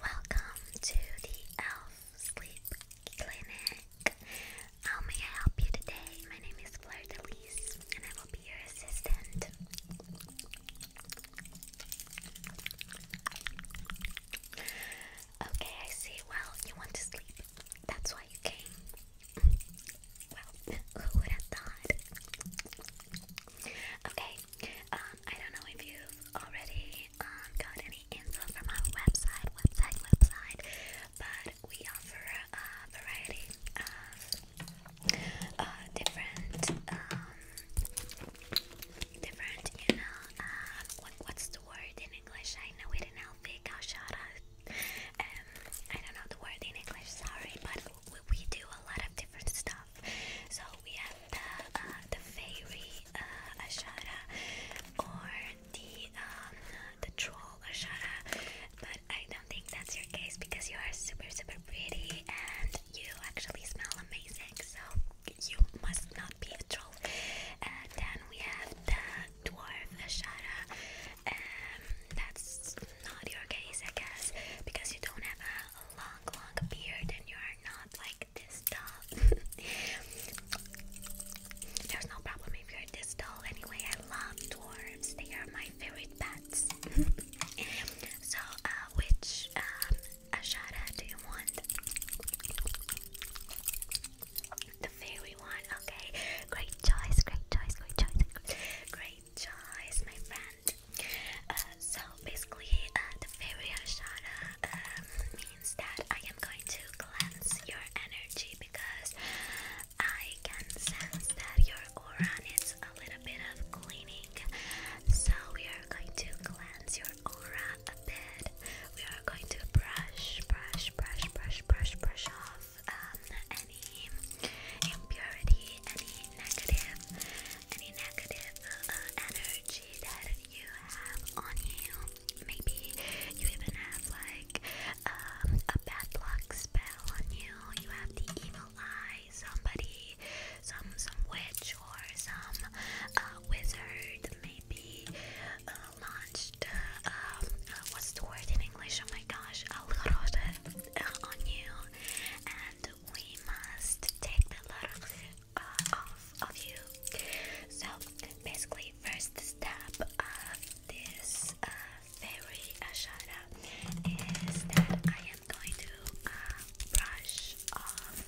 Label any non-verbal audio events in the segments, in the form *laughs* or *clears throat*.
Welcome to the Elf Sleep Clinic. How may I help you today? My name is Fleur Delise, and I will be your assistant. Okay, I see. Well, you want to sleep. That's why you came. Well, *laughs* who would have thought? Okay, um, I don't know if you've already um, got any info from our website, website, website, but we offer a variety of uh, different, um, different, you know, what's the word in English? I know it in Elfic, I'll I don't know the word in English, sorry, but we do a lot of different stuff. So we have the uh, the fairy uh, ashara or the um, the troll ashara, but I don't think that's your case because you are super super pretty and you actually smell amazing. So you must not be a troll. And then we have the dwarf ashara. and um, that's not your case, I guess, because you don't have a a long, long beard and you are not like this tall. *laughs* There's no problem if you're this tall. Anyway, I love dwarves. They are my favorite pets. *laughs* so, uh, which um, do you want? The fairy one. Okay, great choice. Great choice. Great choice. Great choice, my friend. Uh, so basically, uh, the Viriyashara um, means that I am going to cleanse your energy because I can sense that your aura needs a little bit of cleaning. So we are going to cleanse your aura a bit. We are going to brush, brush, brush, brush, brush, brush off um, any impurity, any negative any negative uh, energy that you have on you. Maybe you even have like um, a bad luck spell on you. You have the evil eye. Somebody, some some witch or some uh, wizard maybe uh, launched. Um, what's the word in English? Oh my gosh, algorithm uh, on you, and we must take the algorithm uh, of, you. So basically, first step of this very uh, fairy uh, is that I am going to uh, brush off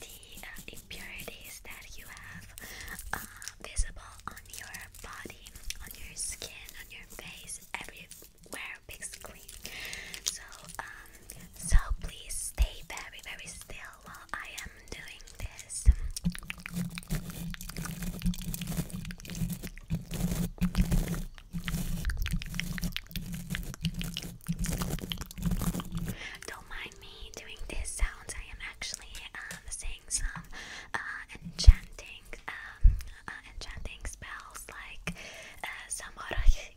the impurities that you have visible on your body, on your skin, on your face, everywhere, basically. So um, so please stay very, very still while I am doing this. Don't mind me doing these sounds. I am actually um, saying some uh, enchanting, um, uh, enchanting spells like uh, *laughs*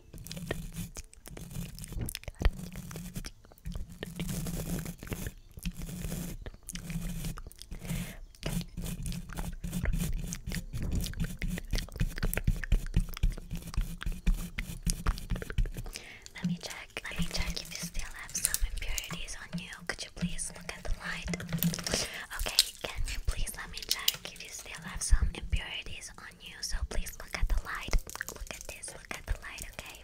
Let me check. Let me check if you still have some impurities on you. Could you please look at the light? Okay, can you please let me check if you still have some impurities on on you, so please look at the light. Look at this, look at the light, okay?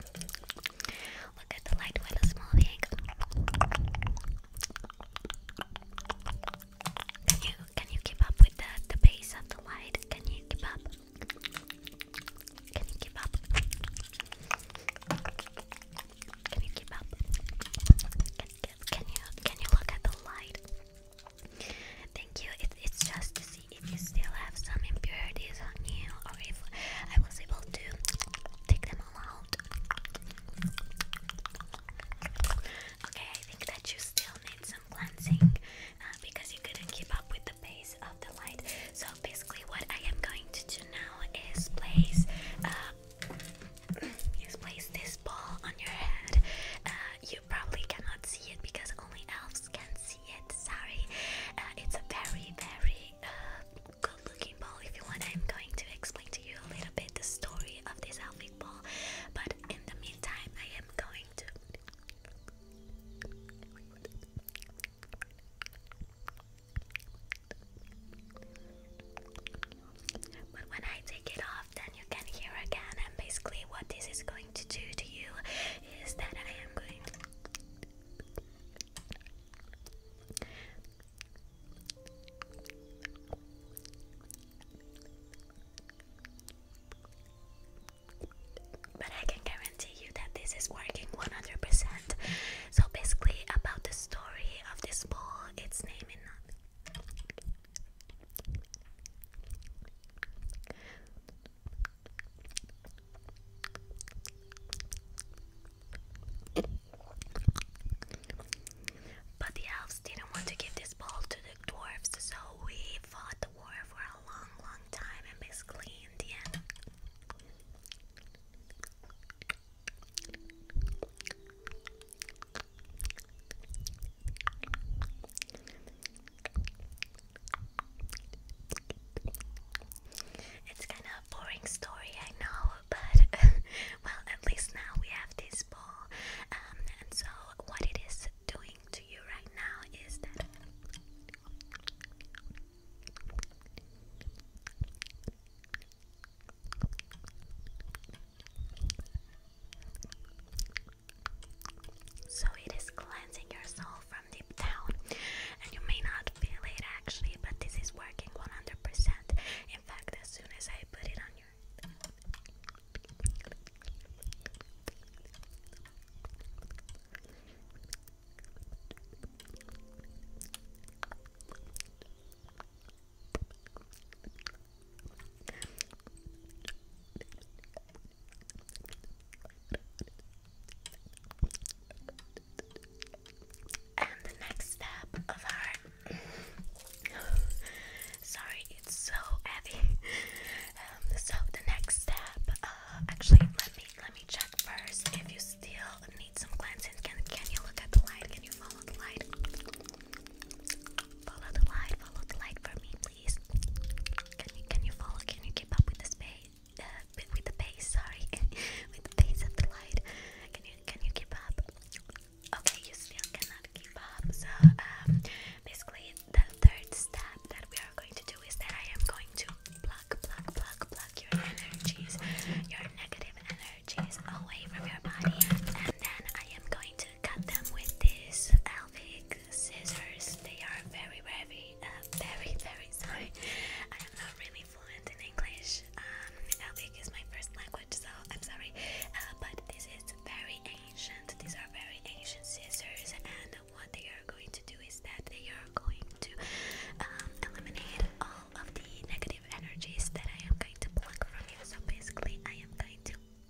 Look at the light while it's moving. Can you can you keep up with the the pace of the light? Can you keep up? Can you keep up? Can you keep up? can you can you look at the light? Thank you. it's just to see if you still have some impurities on you or if I was able to take them all out. Okay, I think that you still need some cleansing uh, because you couldn't keep up with the pace of the light. So basically, what I am going to do now is place uh, *clears throat* is place this ball on your head. Uh, you probably cannot see it because only elves can see it. Sorry, uh, it's a very, very uh, good-looking ball. If you want, I'm going to explain to you a little bit the story of this elfic ball. But in the meantime, I am going to. But when I take it off, then you can hear again. And basically, what this is going to do to you is that I am going. But I can guarantee you that this is working 100%. So, basically, about the story of this ball, its name in. But the elves didn't want to give this ball to the dwarves, so we fought the war for a long, long time, and basically, in the end. It's kind of a boring story, I know, but *laughs* well, at least now we have this ball. Um, and so, what it is doing to you right now is that. So it is cleansing your soul from deep down, and you may not feel it actually, but this is working 100%. In fact, as soon as I put it on your and the next step of our sorry, it's so heavy. Um, so the next step, uh, actually, let me let me check first if you still need some cleansing. Can can you look at the light? Can you follow the light? Follow the light. Follow the light for me please? Can you can you follow? Can you keep up with the space? Uh, with the pace, sorry, *laughs* with the pace of the light. Can you can you keep up? Okay, you still cannot keep up. So um, basically, the third step that we are going to do is that I am going to pluck, pluck, pluck, pluck your energies, your negative energies away from your body, and then I am going cut them with these Elvic scissors. They are very, very, uh, very, very sorry. I am not really fluent in English. Um, is my first language, so I'm sorry. Uh, but this is very ancient. These are very ancient scissors, and what they are going to do is that they are going to um, eliminate all of the negative energies that I am going to block from you. So basically, I am going to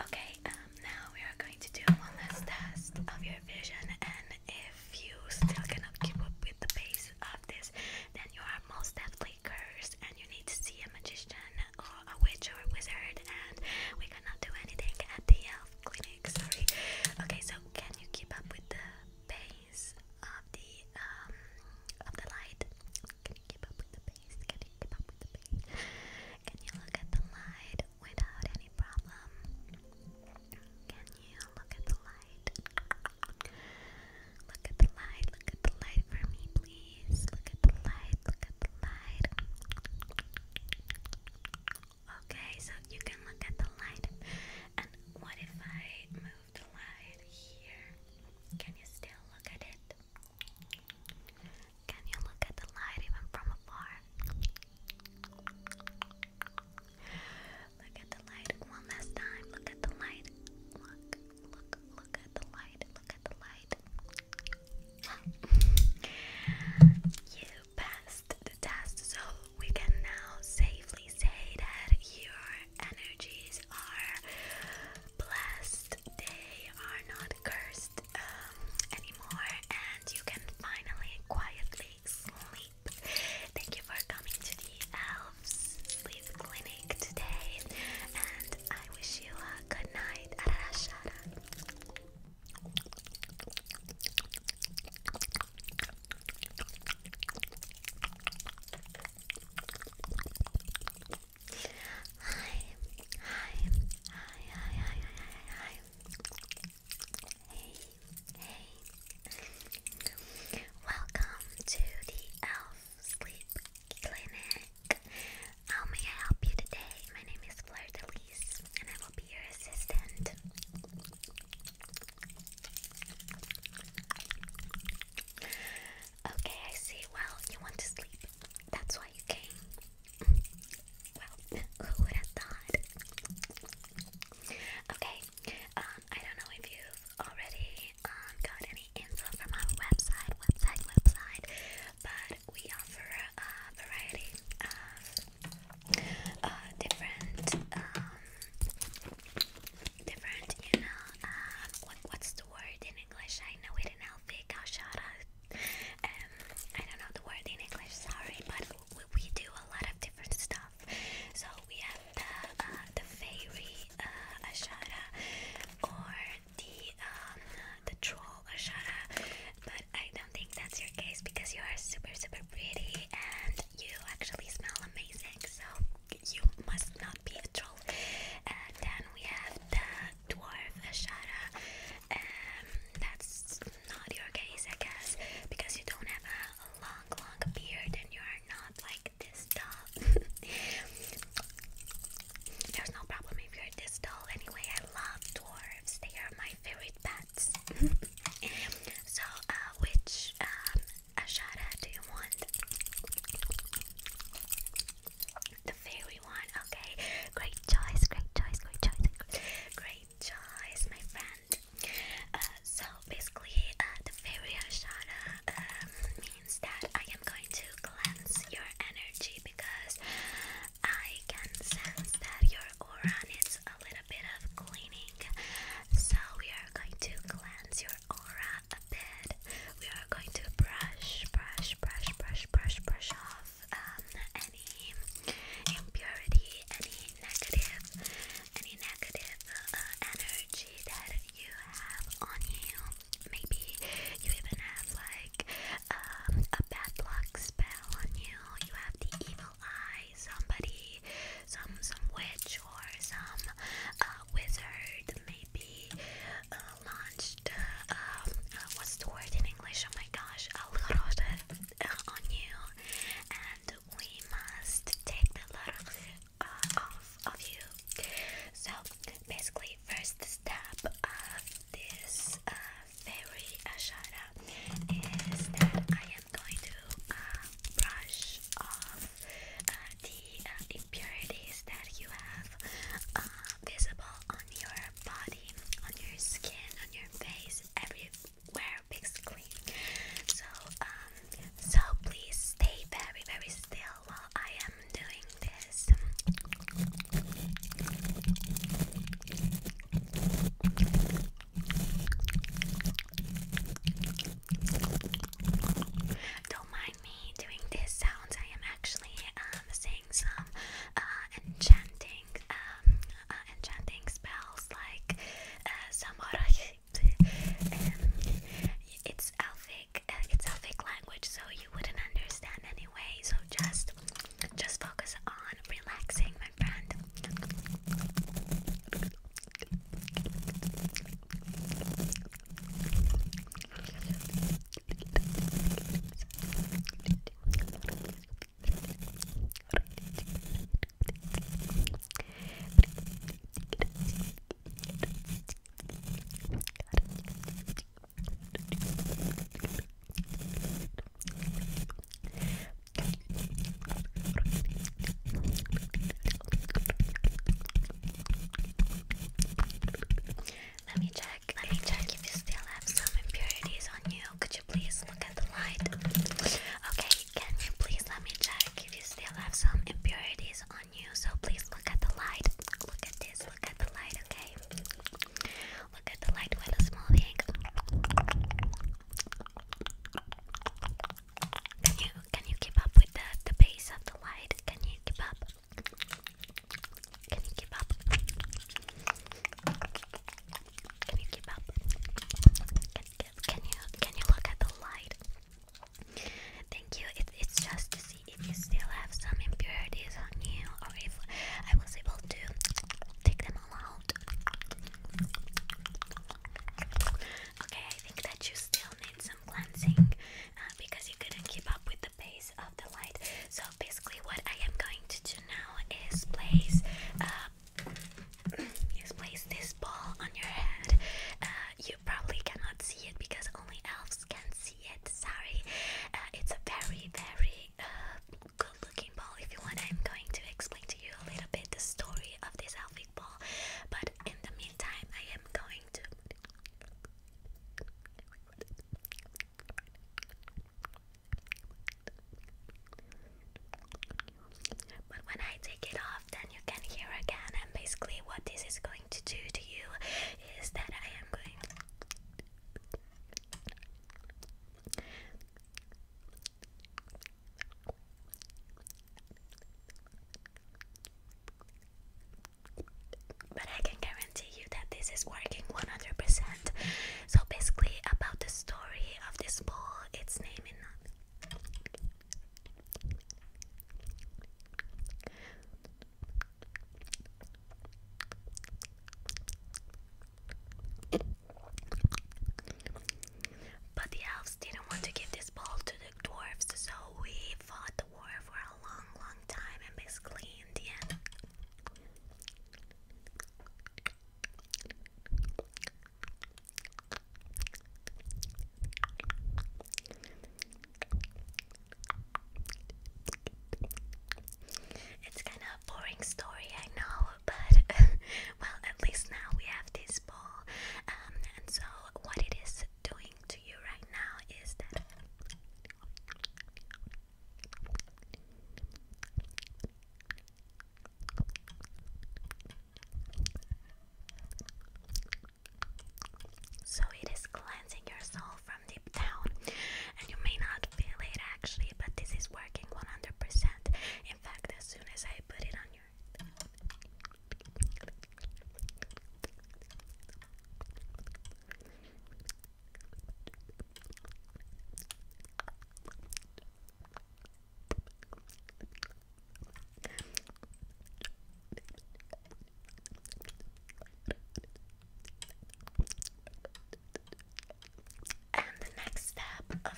Okay, um now we are going to do one last test of your vision and if you still cannot keep up with the pace of this, then you are most definitely cursed and you need to see a magician or a witch or a wizard and we cannot do anything at the health clinic, sorry. Okay, so can you keep up with the pace of the um of the light? Can you keep up with the pace? Can you keep up with the pace? Can you look at the light? without any problem. Can you look at the light? Look at the light, look at the light for me, please. Look at the light, look at the light. Okay, so you can look at the light. And what if I move the light here? Can you still look at it? Can you look at the light even from afar? Look at the light one last time. Look at the light. Look, look, look at the light. Look at the light. *laughs* you passed the test, so we can now safely say that your energies are blessed. They are not cursed um, anymore, and you can finally quietly sleep. Thank you for coming to the Elves Sleep Clinic today, and I wish you a good night. Arashara. Hey. Welcome to the Elf Sleep Clinic. How um, may I help you today? My name is Fleur and I will be your assistant. Okay, I see. Well, you want to sleep. That's why you came who would have thought? Okay, um, I don't know if you've already um, got any info from our website, website, website, but we offer a variety of uh, different, um, different, you know, um, what, what's the word in English? I know it in Elvic, I'll Um, I don't know the word in English, sorry, but we do a lot of different stuff. So we have the uh, the fairy uh, ashara or the um, the troll ashara, but I don't think that's your case because you are super super pretty and you actually smell amazing. So you must not be a troll. And then we have the dwarf ashara. and that's not your case, I guess, because you don't have a long, long beard and you are not like this tall. *laughs* There's no problem if you're this tall. Anyway, I love dwarves. They are my favorite pets. *laughs* so, uh, which um, Ashara do you want? The fairy one. Okay, great choice. Great choice. Great choice. Great choice, my friend. Uh, so basically, uh, the Viriyashana um, means that I am going to cleanse your energy because I can sense that your aura needs a little bit of cleaning. So we are going to cleanse your aura a bit. We are going to brush, brush, brush, brush, brush, brush off um, any impurity, any negative, any negative uh, energy that you have on you. Maybe you even have like um, a bad luck spell on you. You have the evil eye. Somebody, some some witch or some uh, wizard, maybe uh, launched. Um, what's the word in English? Oh my gosh, a lot Er, on you, and we must take the load uh, off of you. So, basically, first step of this uh, fairy ashara uh, is that I am going to uh, brush off the impurities that you have visible on your body, on your skin, on your face, everywhere our So, um, so please stay very, very still while I am doing this. Don't mind me doing these sounds. I am actually um, saying some uh, enchanting um, uh, enchanting spells like uh, Zamora. it's Elfic. Uh, it's Elfic language, so you wouldn't understand anyway. So just, just focus on relaxing, my friend. Let me check. Let me check if you still have some impurities on you. Could please look at the light? Okay, can you please let me check if you still have some impurities on you? So please look at the light. Look at this, look at the light, okay? Look at the light while it's moving. Can you can you keep up with the the pace of the light? Can you keep up? Can you keep up? Can you keep up? Can you can you look at the light? Thank you. It, it's just to see if you still have some impurities on you, or if I was able to take them all out. Okay, I think that you still need some cleansing uh, because you couldn't keep up with the pace of the light. So basically, what I am going to do now is place uh, just place this ball on your head. Uh, you probably cannot see it because only elves can see it. Sorry. Uh, it's a very, very uh, good looking ball. If you want, I'm going to explain to you a little bit the story of this elfic ball. But in the meantime, I am going to. But when I take it off, then you can hear again. And basically, what this is going to do to you is that I am going. But I can guarantee you that this is working 100%. So, basically, about the story of this ball, its name but the elves didn't want to give this ball to the dwarves, so we fought the war for a long, long time, and basically, in the end. It's kind of a boring story, I know, but *laughs* well, at least now we have this ball. Um, and so, what it is doing to you right now is that. So it is cleansing your soul from deep down, and you may not feel it actually, but this is working 100%. In fact, as soon as I put it on your and the next step of our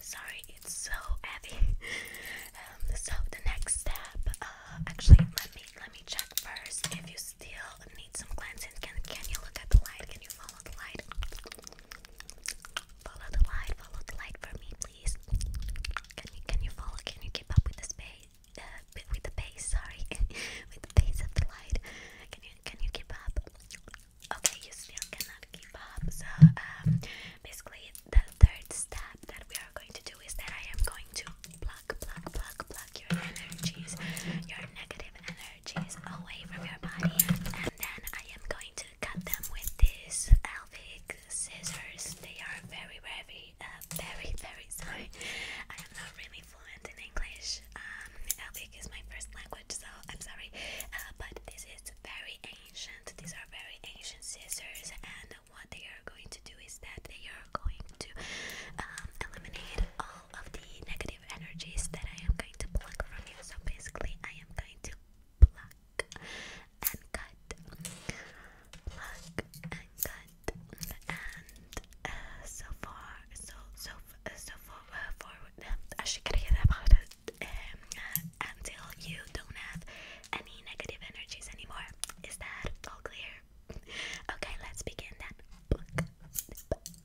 sorry, it's so heavy. Um, so the next step, uh, actually, let me let me check first if you still need some cleansing. Can can you look at the light? Can you follow? follow the light. Follow the light, for me, please. Can you can you follow? Can you keep up with the space? Uh, with the pace, sorry, *laughs* with the pace of the light. Can you can you keep up? Okay, you still cannot keep up. So um, basically, the third step that we are going to do is that I am going to pluck, pluck, pluck, pluck your energies, your negative energy allergies away from your body. And then I am going to cut them with these Elvic scissors. They are very, very, uh, very, very sorry. I am not really fluent in English. Um, Elvic is my first language, so I'm sorry. Uh, but this is very ancient. These are very ancient scissors, and what they are going to do is that they are going to um, eliminate all of the negative energies that I am going to pluck from you. So basically, I am going to pluck and cut, pluck and cut, and uh, so far, so so so far uh, forward. I should get about it um, until you don't have any negative energies anymore. Is that all clear? Okay, let's begin then. Pluck,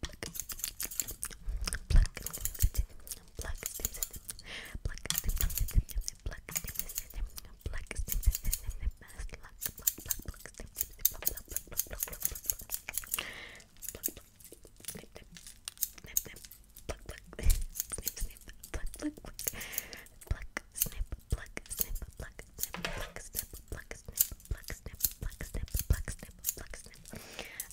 pluck, pluck,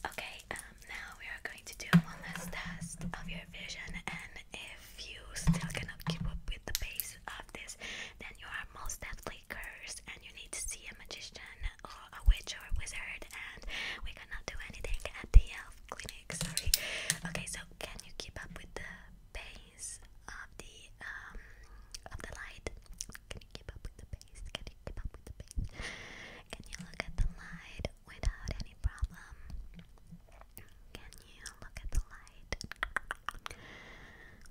Okay, um, now we are going to do one last test of your vision, and if you still cannot keep up with the pace of this, then you are most definitely cursed, and you need to see a magician or a witch or a wizard, and we cannot do anything at the elf clinic. Sorry. Okay, so can you keep up with the pace of the um of the light? Can you keep up with the can you look at the light without any problem? Can you look at the light?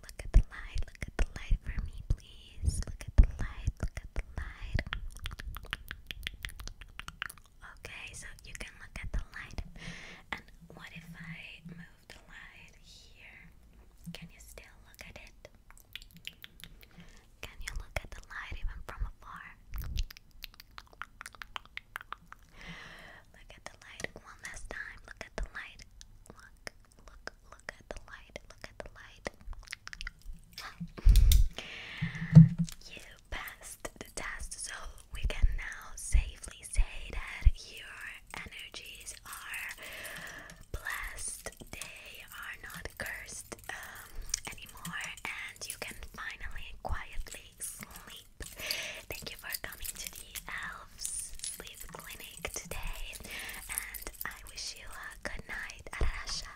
Look at the light, look at the light for me, please. Look at the light, look at the light. Okay, so you can look at the light. And what if I move the light here? Can you still look at it? Can you look at the light even from afar? Look at the light one last time. Look at the light. Look, look, look at the light. Look at the light. you passed the test, so we can now safely say that your energies are blessed, they are not cursed um, anymore, and you can finally quietly sleep. Thank you for coming to the Elves Sleep Clinic today, and I wish you a good night. Arashara.